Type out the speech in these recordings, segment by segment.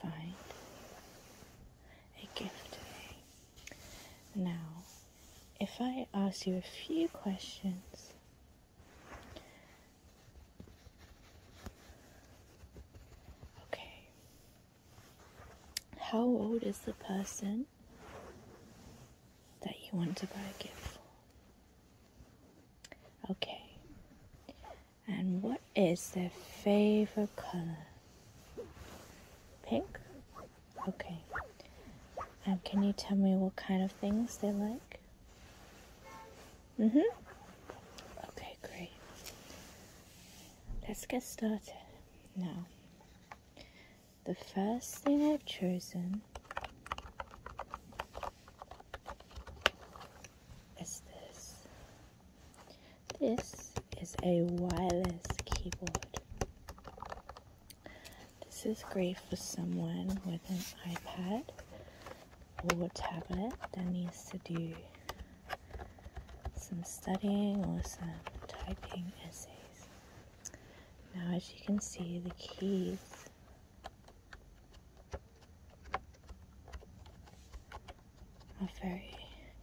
find a gift Now, if I ask you a few questions, okay, how old is the person that you want to buy a gift for? Okay, and what is their favorite color? Pink? Okay. Um, can you tell me what kind of things they like? Mm-hmm. Okay, great. Let's get started. Now, the first thing I've chosen is this. This is a wireless keyboard. This is great for someone with an iPad or tablet that needs to do some studying or some typing essays. Now as you can see the keys are very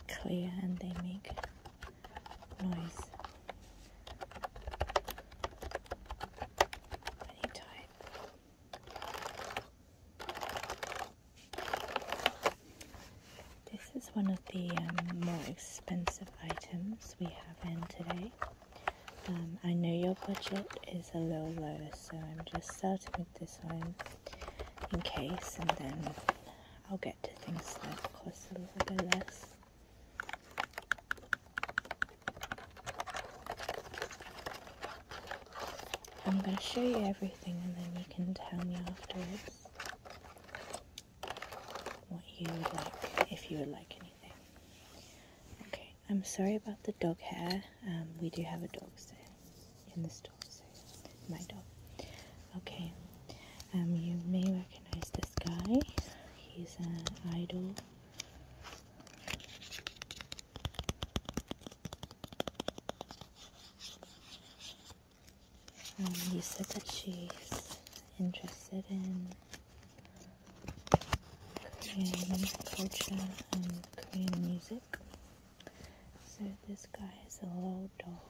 clear and they make noise. When This is one of the um, more expensive items we have in today. Um, I know your budget is a little low, so I'm just starting with this one in case, and then I'll get to things that cost a little bit less. I'm going to show you everything and then you can tell me afterwards what you would like, if you would like anything. Okay, I'm sorry about the dog hair. Um, we do have a dog, so in the store, my dog. Okay, um, you may recognize this guy. He's an idol. you um, said that she's interested in Korean culture and Korean music. So this guy is a little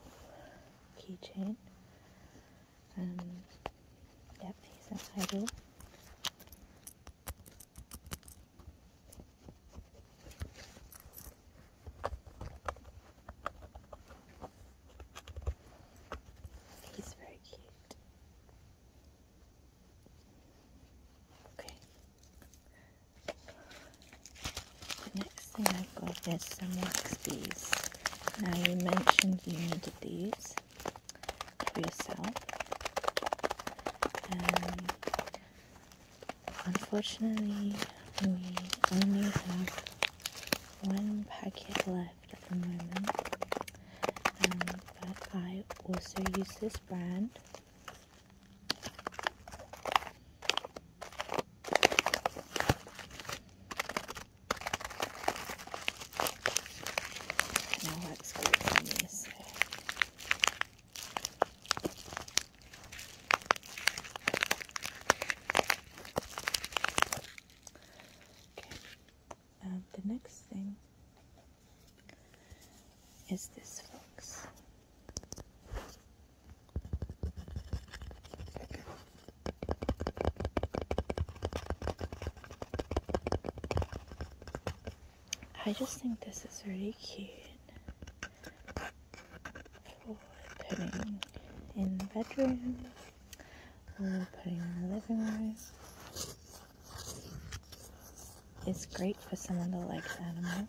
keychain. Um, yep, he's an He's very cute. Okay. The next thing I've got is some wax bees. Now you mentioned you needed these for yourself. Um, unfortunately, we only have one packet left at the moment. Um, but I also use this brand now let's go on this Okay. Uh, the next thing is this fox. I just think this is really cute for putting in the bedroom or putting in the living room. It's great for someone that likes animals.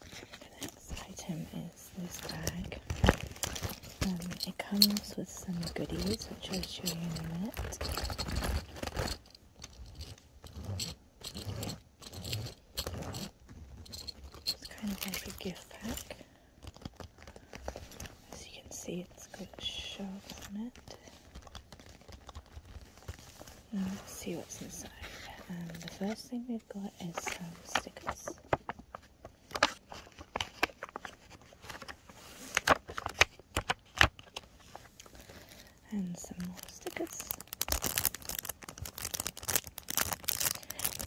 The next item is this bag. Um, it comes with some goodies, which I'll show you in a minute. It's kind of like a gift pack. As you can see, it's got shelves on it. let's see what's inside. Um, the first thing we've got is some stickers. And some stickers.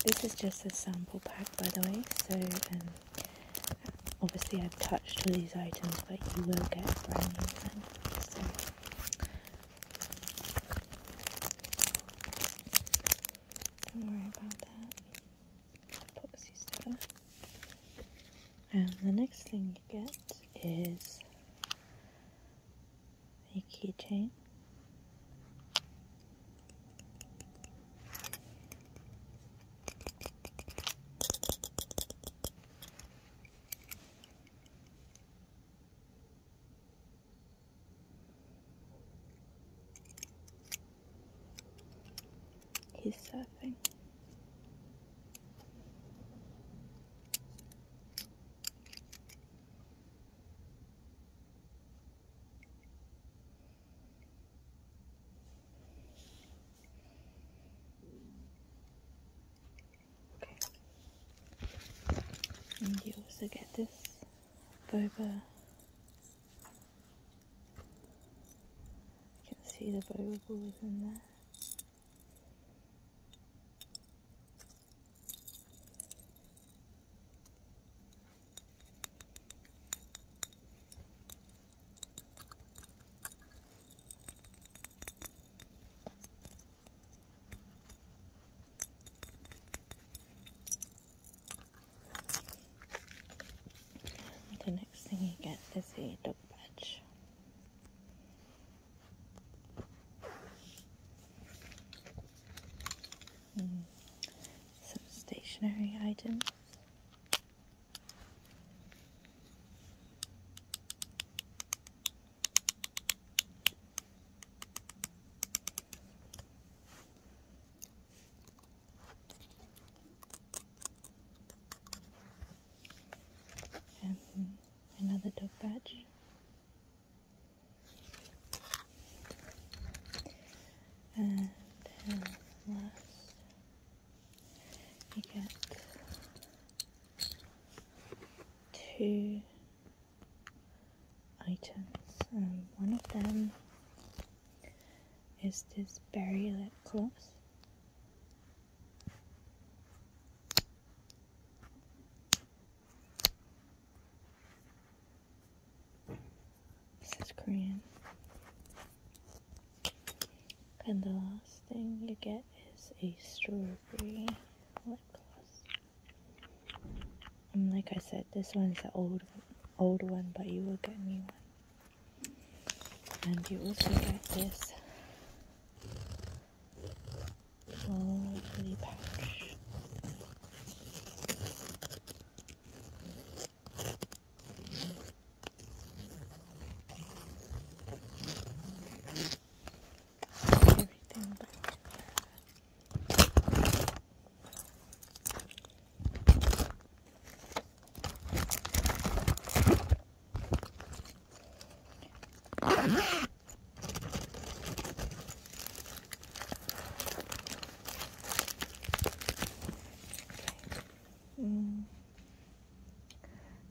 This is just a sample pack, by the way, so um, obviously I've touched all these items, but you will get brand new things. Don't worry about that. Put these And the next thing you get is a keychain. He's surfing. Okay. And you also get this boba. You can see the boba balls in there. The next thing you get is a dog badge. Hmm. Some stationary items. And another dog badge, And last, you get two items. Um, one of them is this berry lip gloss. This is Korean. And the last thing you get is a strawberry lip gloss like I said, this one is the old old one, but you will get new one. And you also get this lovely pouch everything mm.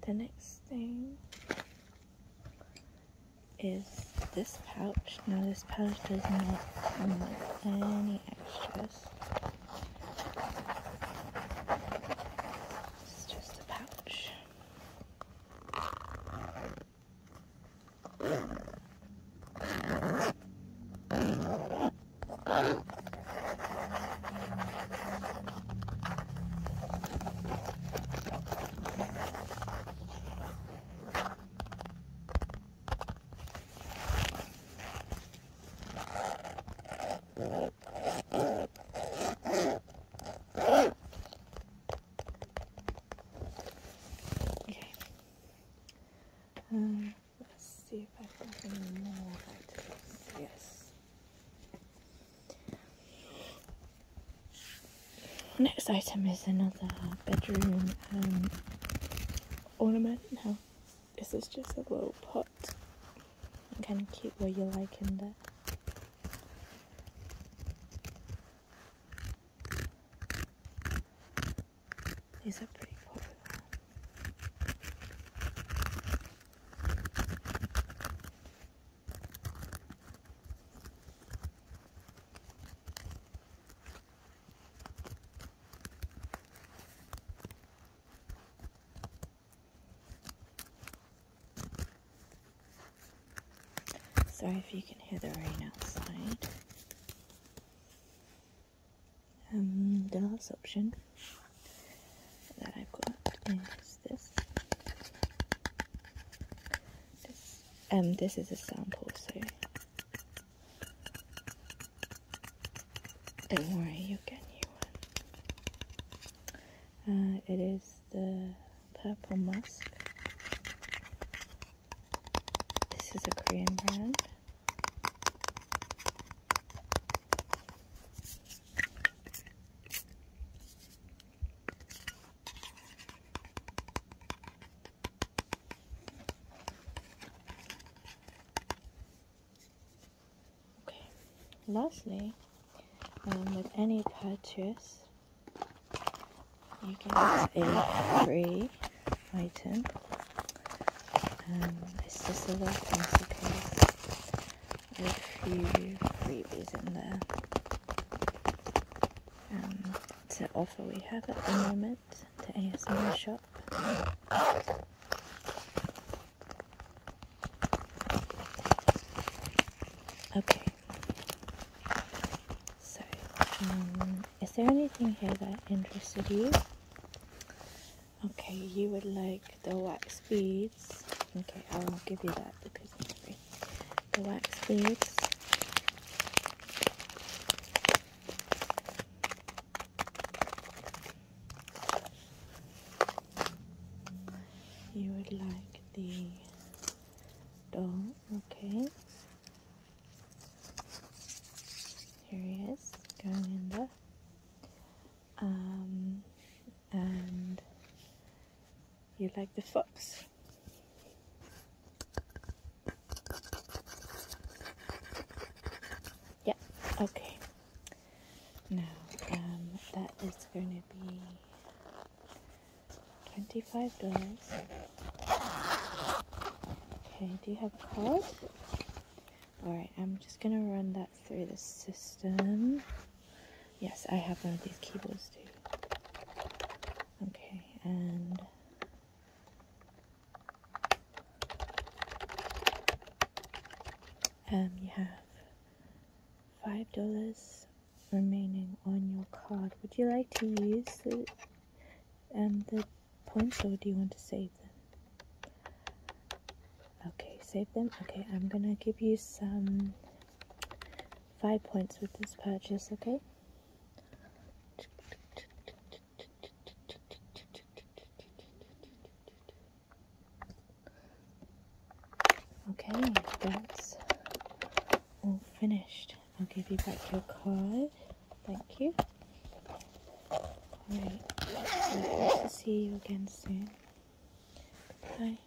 The next thing is this pouch. No, this pouch does not come with any extras. It's just a pouch. Okay. Um, let's see if I've any more letters. Yes. Next item is another bedroom um, ornament. Now, this is just a little pot. You can keep what you like in there. These are pretty popular. Sorry if you can hear the rain outside. Um, the last option that I've got is this. This, um, this is a sample, so don't worry, you get a new one. Uh, it is the Purple Musk. This is a Korean brand. Okay, lastly, um, with any purchase, you get a free item. Um, it's just a little pencil case with a few freebies in there. Um, it's offer we have at the moment to ASMR shop. Okay. So, um, is there anything here that interested you? Okay, you would like the wax beads. Okay, I will give you that because the wax beads. You would like the doll, okay. Here he is, going in there. Um, and you like the fox. Yeah, okay. Now, um, that is going to be twenty-five dollars. Okay, do you have a card? Alright, I'm just gonna run that through the system. Yes, I have one of these keyboards too. Okay, and um, you have five dollars remaining on your card. Would you like to use it and um, the points, or do you want to save them? Okay, save them. Okay, I'm gonna give you some five points with this purchase, okay? Okay, that's all finished. I'll give you back your card. Thank you. Alright, see you again soon. Bye.